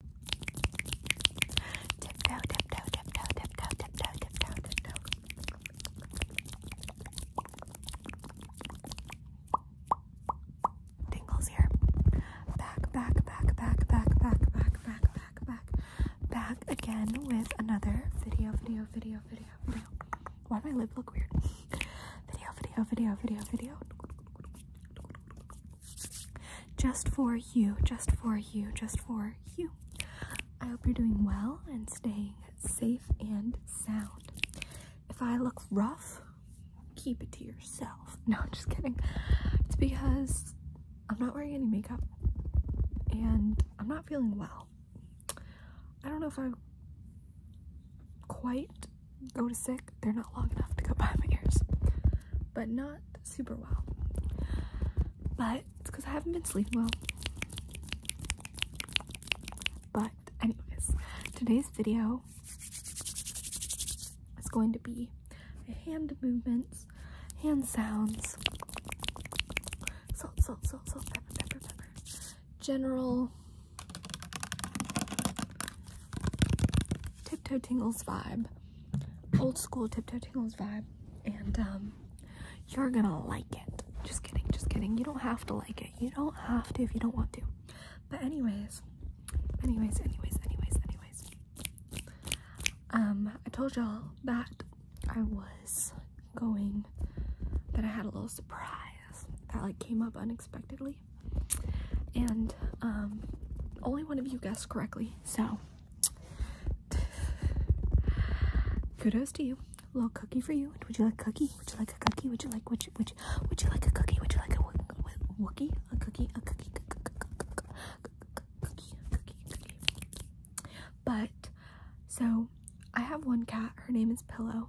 Tiptoe, tiptoe, tiptoe, tiptoe, tiptoe, tiptoe, tiptoe. Tingles here. Back, back, back, back, back, back, back, back, back, back. Back again with another video, video, video, video, video. Why my lip look weird? Video, video, video, video, video. Just for you, just for you, just for you. I hope you're doing well and staying safe and sound. If I look rough, keep it to yourself. No, I'm just kidding. It's because I'm not wearing any makeup and I'm not feeling well. I don't know if I quite go to sick, they're not long enough to go by my ears, but not super well. But it's because I haven't been sleeping well. But, anyways, today's video is going to be hand movements, hand sounds, salt, salt, salt, salt, pepper, pepper, pepper, general tiptoe tingles vibe old school tiptoe tingles vibe and um, you're gonna like it just kidding just kidding you don't have to like it you don't have to if you don't want to but anyways anyways anyways anyways anyways um i told y'all that i was going that i had a little surprise that like came up unexpectedly me. And um, only one of you guessed correctly, so kudos to you. A little cookie for you. Would you like cookie? Would you like a cookie? Would you like would you would you, would you like a cookie? Would you like a wookie? A cookie? A cookie? Cookie? Cookie? Cookie? But so I have one cat. Her name is Pillow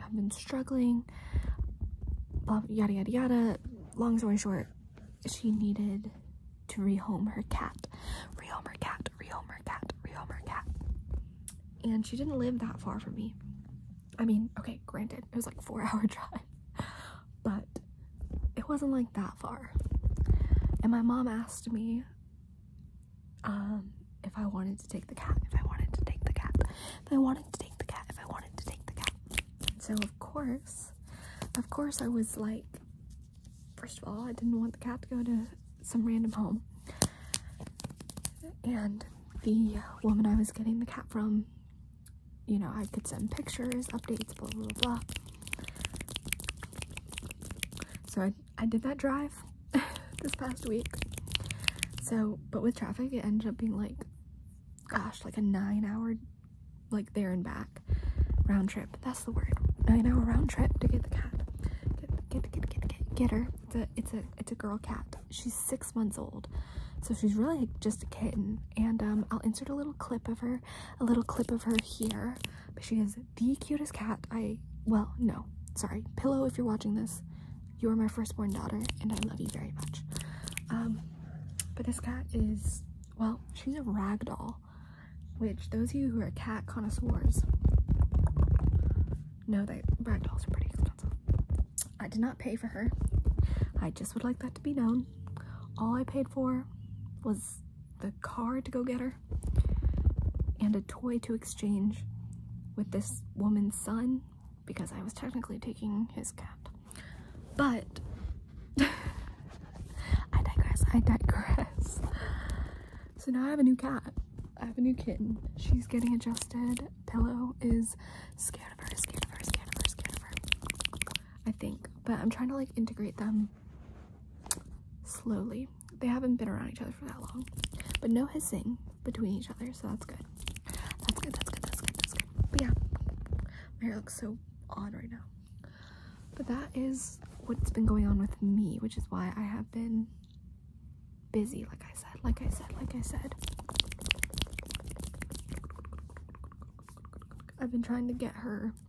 i have been struggling, blah, yada, yada, yada. Long story short, she needed to rehome her cat. Rehome her cat, rehome her cat, rehome her cat. And she didn't live that far from me. I mean, okay, granted, it was like four hour drive, but it wasn't like that far. And my mom asked me um if I wanted to take the cat, if I wanted to take the cat, if I wanted to take the cat, if I wanted to take the cat. And so of course, of course I was like, first of all, I didn't want the cat to go to some random home. And the woman I was getting the cat from, you know, I could send pictures, updates, blah blah blah. blah. So I I did that drive this past week. So, but with traffic, it ended up being like, gosh, like a nine-hour, like there and back, round trip. That's the word. Nine-hour round trip to get the cat. Get, get, get, get, get, get her. It's a, it's a, it's a girl cat. She's six months old, so she's really just a kitten. And um, I'll insert a little clip of her, a little clip of her here. But she is the cutest cat I well, no, sorry, pillow. If you're watching this, you are my firstborn daughter, and I love you very much. Um, but this cat is well, she's a rag doll, which those of you who are cat connoisseurs know that rag dolls are pretty expensive. I did not pay for her. I just would like that to be known. All I paid for was the car to go get her and a toy to exchange with this woman's son because I was technically taking his cat. But I digress, I digress. So now I have a new cat. I have a new kitten. She's getting adjusted. Pillow is scared of her, scared of her, scared of her, scared of her. I think. But I'm trying to like integrate them slowly. They haven't been around each other for that long, but no hissing between each other, so that's good. That's good, that's good, that's good, that's good. But yeah, my hair looks so odd right now. But that is what's been going on with me, which is why I have been busy, like I said, like I said, like I said. I've been trying to get her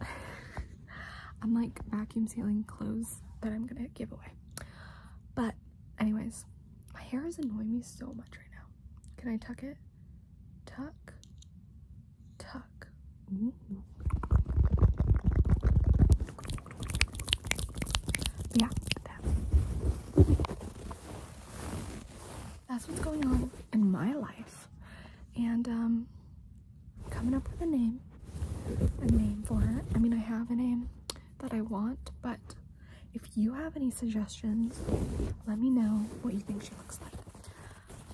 I'm like vacuum sealing clothes that I'm gonna give away. But anyways, my hair is annoying me so much right now. Can I tuck it? Tuck, tuck. Yeah, that's what's going on in my life. And um coming up with a name. A name for her. I mean, I have a name that I want, but if you have any suggestions, let me know what you think she looks like.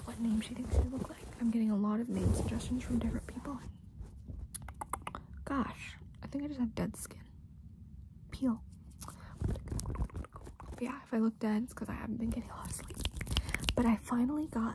What name she thinks she looks like. I'm getting a lot of name suggestions from different people. Gosh, I think I just have dead skin. Peel. yeah, if I look dead, it's because I haven't been getting a lot of sleep. But I finally got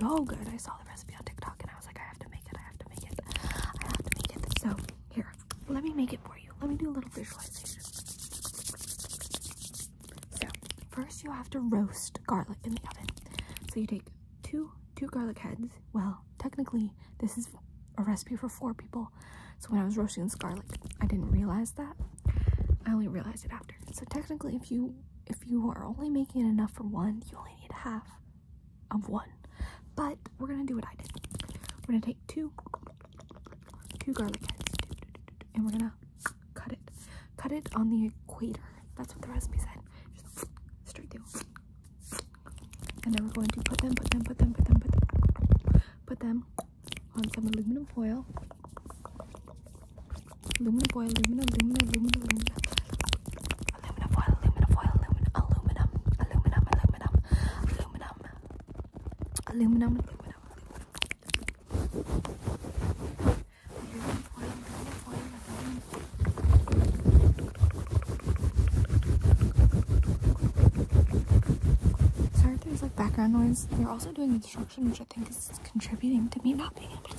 so good. I saw the recipe on TikTok and I was like, I have to make it. I have to make it. I have to make it. So here, let me make it for you. Let me do a little visualization. So first you have to roast garlic in the oven. So you take two two garlic heads. Well, technically this is a recipe for four people. So when I was roasting this garlic, I didn't realize that. I only realized it after. So technically if you if you are only making it enough for one, you only only need half of one, but we're gonna do what I did. We're gonna take two, two garlic heads, and we're gonna cut it. Cut it on the equator. That's what the recipe said. straight through. And then we're going to put them, put them, put them, put them, put them, put them on some aluminum foil. Aluminum foil, aluminum, aluminum, aluminum, aluminum. Aluminum foil, aluminum foil, aluminum, aluminum, aluminum, aluminum, aluminum, aluminum, aluminum, aluminum. Aluminum foil, aluminum foil, aluminum. Sorry if there's like background noise. They're also doing instruction, which I think is contributing to me not being able to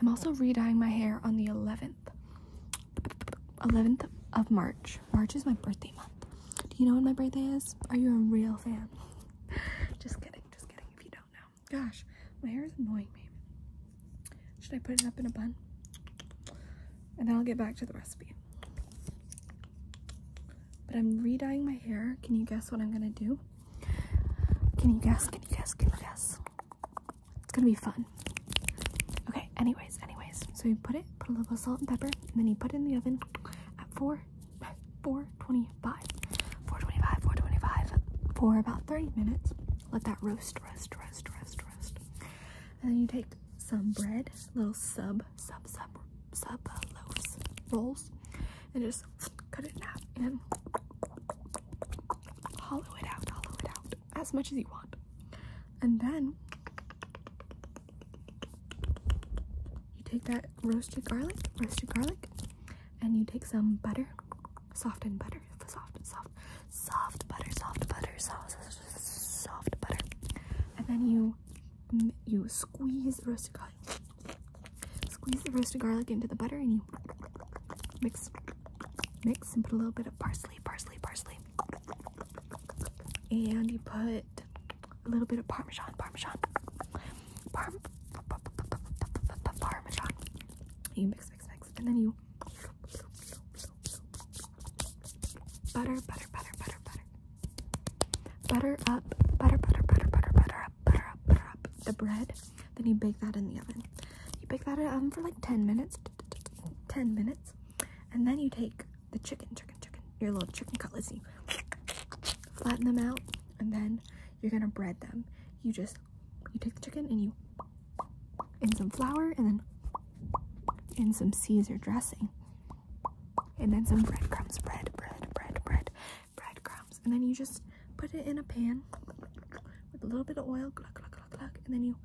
I'm also re-dyeing my hair on the 11th. 11th of March. March is my birthday month. Do you know when my birthday is? Are you a real fan? just kidding, just kidding if you don't know. Gosh, my hair is annoying me. Should I put it up in a bun? And then I'll get back to the recipe. But I'm re-dyeing my hair. Can you guess what I'm gonna do? Can you guess? Can you guess? Can you guess? It's gonna be fun. Okay, anyways, anyways. So you put it, put a little of salt and pepper, and then you put it in the oven at 4, 425. 425, 425 for about 30 minutes. Let that roast, roast, roast, roast, roast. And then you take some bread, little sub, sub, sub, sub uh, loaves, rolls, and just cut it in half and hollow it out, hollow it out as much as you want. And then you take that roasted garlic, roasted garlic, and you take some butter, soft and butter, soft, and soft, soft butter, soft butter, soft, soft butter, and then you you squeeze the roasted garlic Squeeze the roasted garlic into the butter and you mix, mix, and put a little bit of parsley, parsley, parsley. And you put a little bit of parmesan, parmesan, parm, parmesan. You mix, mix, mix, and then you butter, butter, butter, butter, butter. Butter up, butter, butter, butter, butter, butter up, butter up, butter up the bread. Then you bake that in the oven. You bake that in for like 10 minutes. 10 minutes. And then you take the chicken, chicken, chicken, your little chicken cutlets, you flatten them out, and then you're gonna bread them. You just, you take the chicken and you, in some flour, and then in some Caesar dressing, and then some breadcrumbs, bread, bread, bread, bread breadcrumbs, and then you just put it in a pan with a little bit of oil, gluck, gluck, gluck, gluck, and then you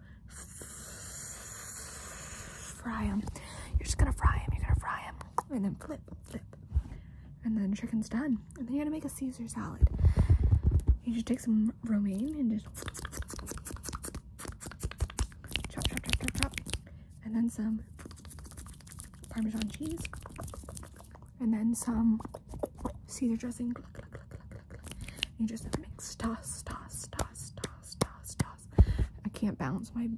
fry them. You're just gonna fry them, you're gonna fry them, and then flip, flip, and then chicken's done. And then you're gonna make a Caesar salad. You just take some romaine and just chop, chop, chop, chop, chop, and then some Parmesan cheese, and then some Caesar dressing. Cluck, cluck, cluck, cluck, cluck, cluck. And you just mix, toss, toss, toss, toss, toss, toss. I can't bounce. My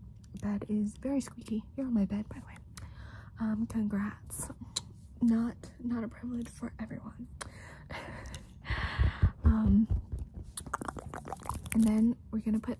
bed is very squeaky. You're on my bed, by the way. Um, congrats. Not not a privilege for everyone. um, and then we're gonna put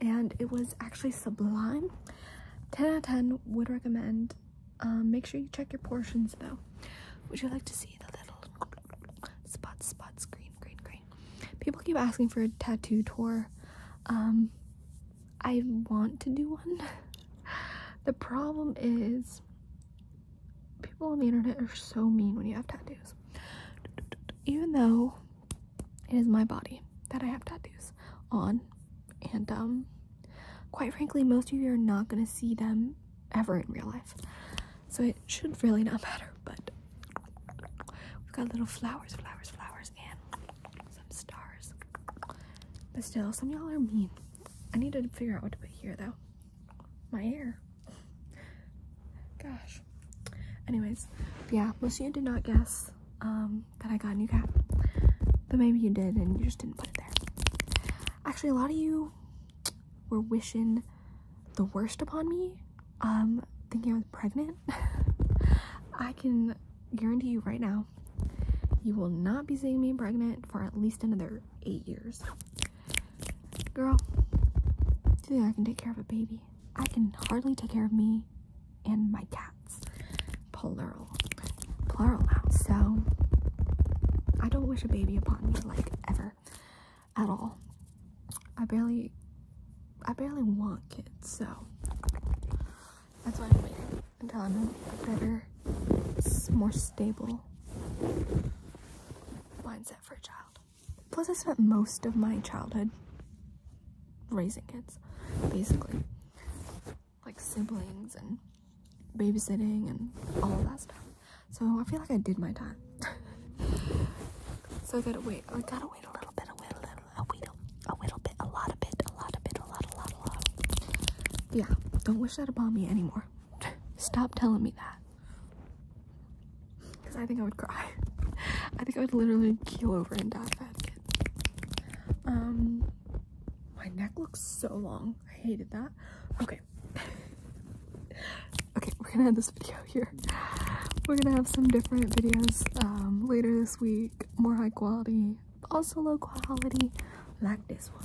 and it was actually sublime 10 out of 10 would recommend um, make sure you check your portions though would you like to see the little spots spots green green green people keep asking for a tattoo tour um, i want to do one the problem is people on the internet are so mean when you have tattoos even though it is my body that I have tattoos on. And um, quite frankly, most of you are not going to see them ever in real life. So it should really not matter, but we've got little flowers, flowers, flowers, and some stars. But still, some y'all are mean. I need to figure out what to put here, though. My hair. Gosh. Anyways, yeah, most of you did not guess um, that I got a new cap. But maybe you did and you just didn't put it there. Actually, a lot of you were wishing the worst upon me, um, thinking I was pregnant. I can guarantee you right now, you will not be seeing me pregnant for at least another eight years. Girl, do you think I can take care of a baby? I can hardly take care of me and my cats. Plural. Plural now. So, I don't wish a baby upon me, like, ever. At all. I barely, I barely want kids, so. That's why I'm waiting until I'm in a better, more stable mindset for a child. Plus, I spent most of my childhood raising kids, basically. Like siblings and babysitting and all of that stuff. So I feel like I did my time. so I gotta wait. I gotta wait a little bit, a little, a little, a little bit, a lot of bit, a lot of bit, a lot, a lot, a lot. Yeah, don't wish that upon me anymore. Stop telling me that. Because I think I would cry. I think I would literally keel over and die if I Um, my neck looks so long. I hated that. Okay. okay, we're gonna end this video here. We're gonna have some different videos um, later this week. More high quality, also low quality, like this one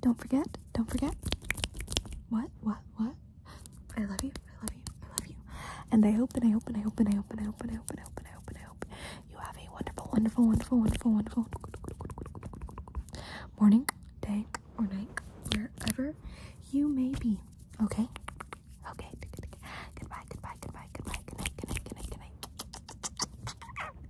Don't forget, don't forget. What, what, what? I love you, I love you, I love you. And I hope, and I hope, and I hope, and I hope, and I hope, and I hope, and I hope, and I hope, and I hope you have a wonderful, wonderful, wonderful, wonderful, wonderful morning, day, or night, wherever you may be. Okay? Okay. Goodbye, goodbye, goodbye, goodbye, good night, good night, good night, good night.